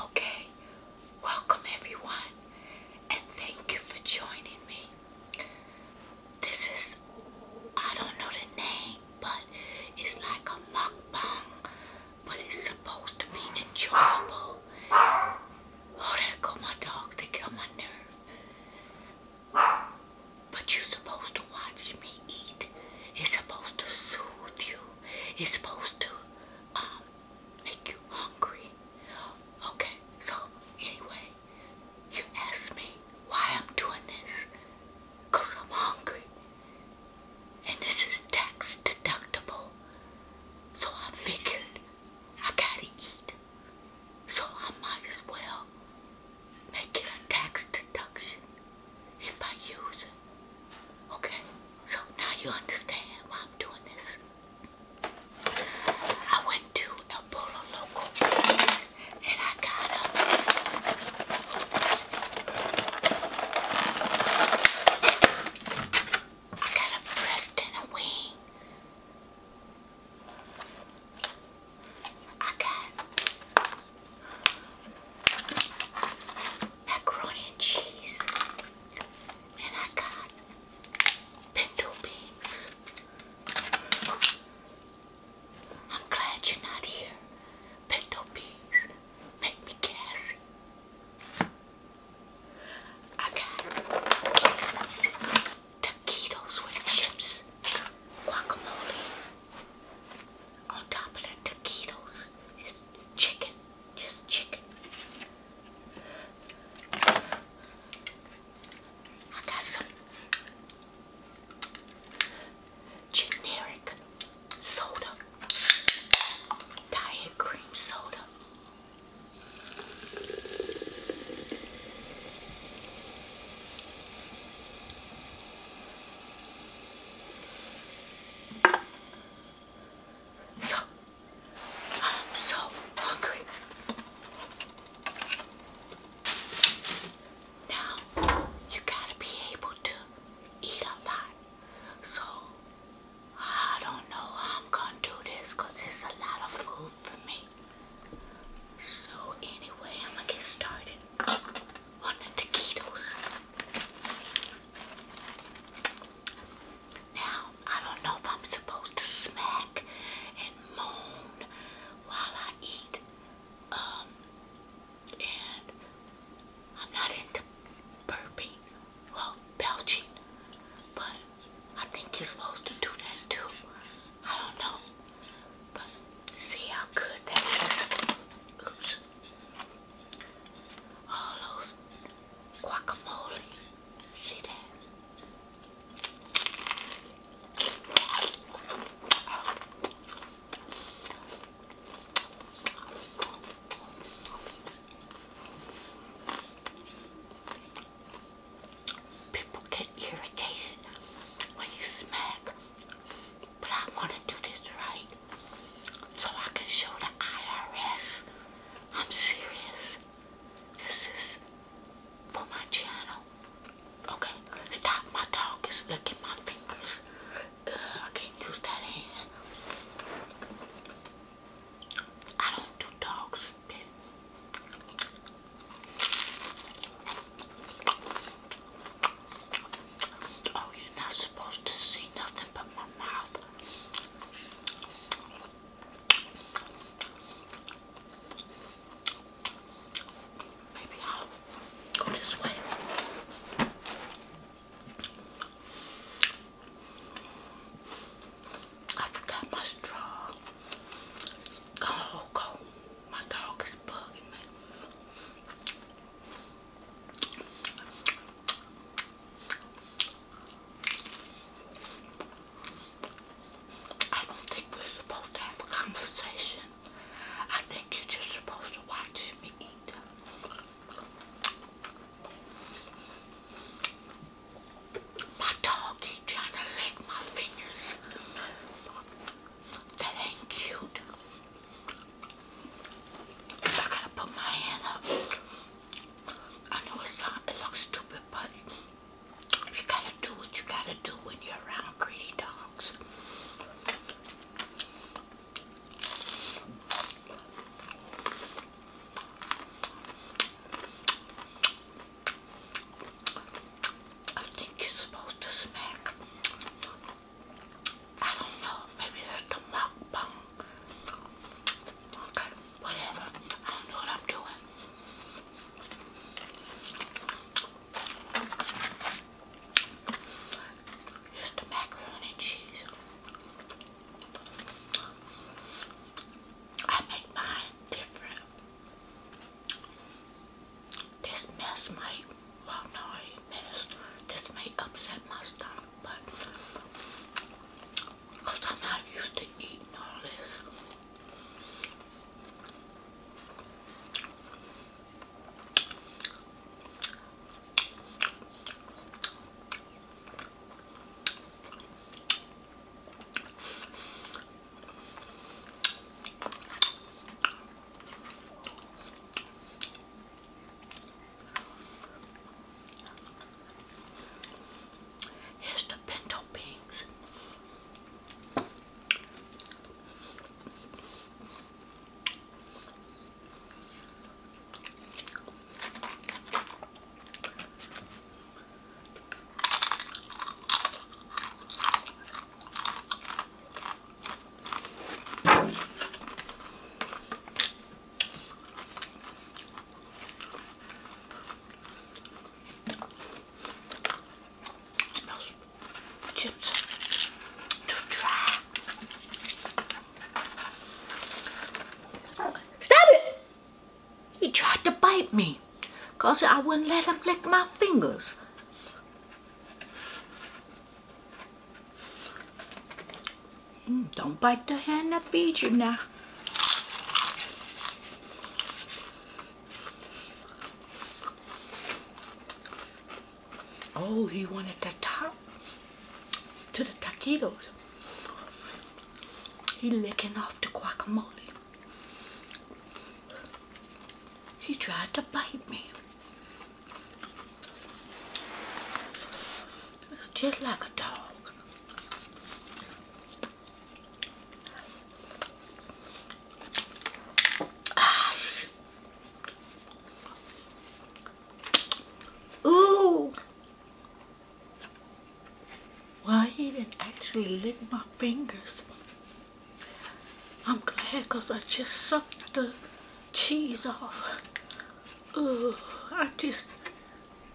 Okay, welcome everyone, and thank you for joining me. This is, I don't know the name, but it's like a mock-bong, but it's supposed to be enjoyable. Oh, there go my dogs, they get on my nerve. But you're supposed to watch me eat. It's supposed to soothe you. It's supposed to uh, make you hungry. Okay, so anyway, you asked me why I'm doing this. Because I'm hungry. And this is tax deductible. So I figured I gotta eat. So I might as well Make it a tax deduction if I use it. Okay, so now you understand why I'm doing this. I went to El Polo Local and I got a I got a breast and a wing I got macaroni and cheese, and I got pinto beans. I'm glad you're not here. Pinto beans make me gassy. I got taquitos with chips, guacamole. On top of the taquitos is chicken, just chicken. I got some generic soda, diet cream soda. So, I'm so hungry. Now, you gotta be able to eat a lot. So, I don't know I'm gonna do this it's a lot of food for me. So anyway, I'm gonna get started on the taquitos. Now, I don't know if I'm supposed to smack and moan while I eat. Um, and I'm not into burping, well, belching, but I think you're supposed to do that too. I don't know, but See how good that is. Oops. All those guacamole. People get irritated when you smack but I want to do this right so I can show the IRS I'm serious. This is for my channel. Okay, stop. My dog is licking my fingers. I can't use that hand. I don't do dog spit. Oh, you're not supposed to see nothing but my mouth. Maybe I'll go this way. I forgot my straw. Go, go. My dog is bugging me. I don't think we're supposed to have a conversation. I think you're just supposed to watch me eat. My dog keep trying to lick my fingers. That ain't cute. I gotta put my hand up. I know it's not, it looks stupid, but you gotta do what you gotta do when you're around greedy dogs. I think you're supposed to smack I don't know, maybe that's the mukbang. Okay, whatever. I don't know what I'm doing. Here's the macaroni and cheese. I make mine different. This mess might, no I ain't this may upset my stomach, but I'm not used to eating all this. Here's the pinto beans. Stop it! He tried to bite me because I wouldn't let him lick my fingers. Mm, don't bite the hand that feeds you now. Oh, he wanted the top to the taquitos. He licking off the guacamole. He tried to bite me. It's just like a dog. Ah, Ooh! Well, he didn't actually lick my fingers. I'm glad because I just sucked the cheese off. Ooh, I just,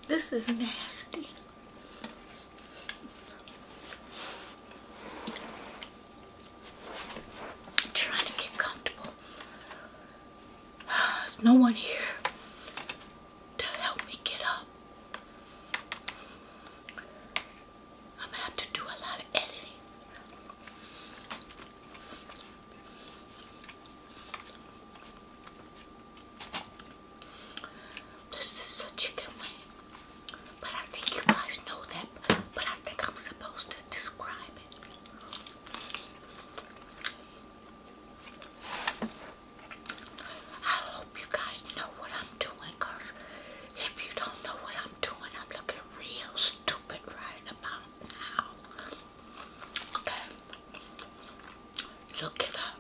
this is nasty. trying to get comfortable. There's no one here. This is a chicken wing, but I think you guys know that, but I think I'm supposed to describe it. I hope you guys know what I'm doing, because if you don't know what I'm doing, I'm looking real stupid right about Look it up.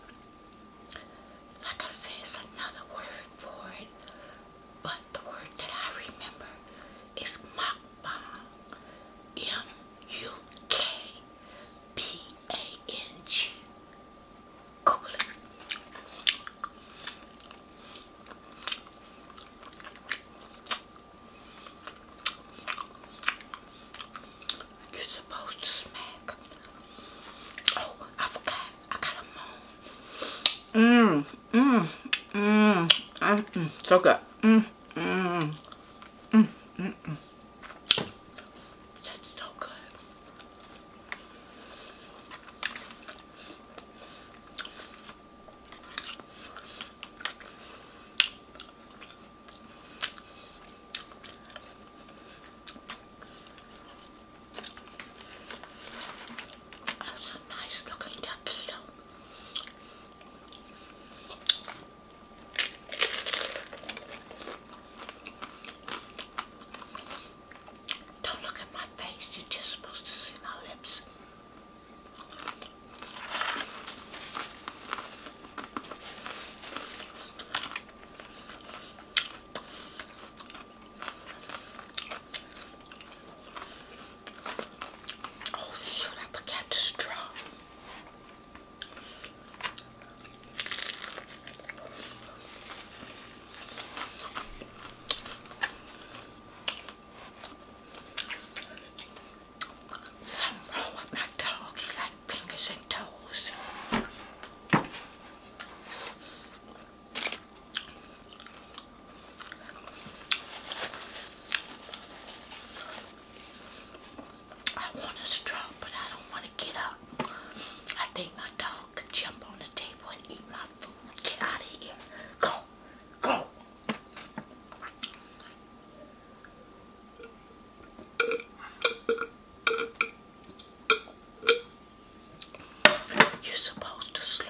Like I said, it's another word for it, but the word that I remember is mukbang. M-U-K-B-A-N-G. Google it. You're supposed to smack. Oh, I forgot. I got a moan. Mmm, mmm, mmm. Mm, so good. Mmm, mmm, mmm, mmm, mmm. That's so good. That's a nice looking taquito. Don't look at my face, you're just supposed to see my lips. Oh shoot, I forgot the straw. Something wrong with my dog. He got fingers and toes. I want to straw, but I don't want to get up. I think my dog could jump on the table and eat my food. Get out of here. Go. Go. You're supposed to slurp.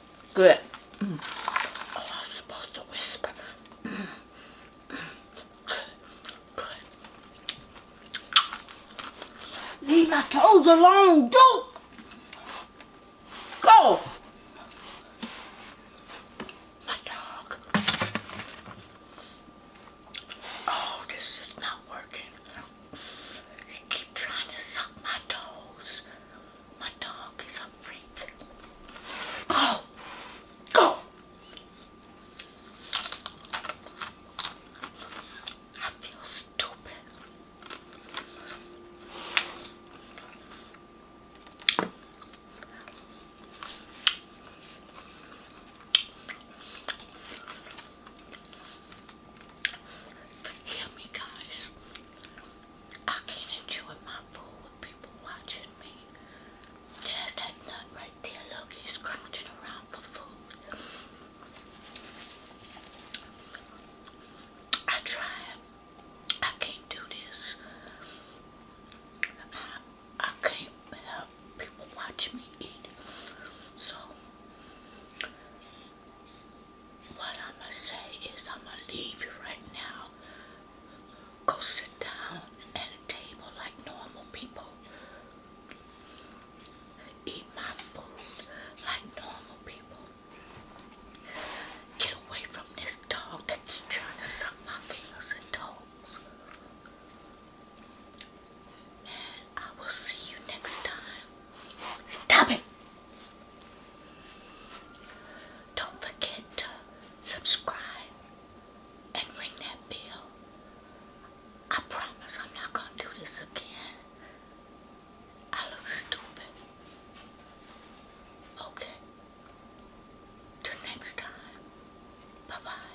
Good. I was supposed to whisper. Good. Good. Leave my toes alone. do go. My dog. Oh, this is not working. He keep trying to suck my toes. My dog is Go. Go. I feel stupid. Forgive me, guys. I can't enjoy my food with people watching me. There's that nut right there. Look, he's crouching around for food. I tried. I can't do this. I, I can't have people watching me eat. So, what I'm going to say is I'm going to leave you right now. Go sit down at a table like normal people. Eat my food like normal people. Get away from this dog that keep trying to suck my fingers and toes. And I will see you next time. Stop it! Don't forget to subscribe and ring that bell. I promise I'm not going to do this again. I look stupid. Okay. Till next time. Bye-bye.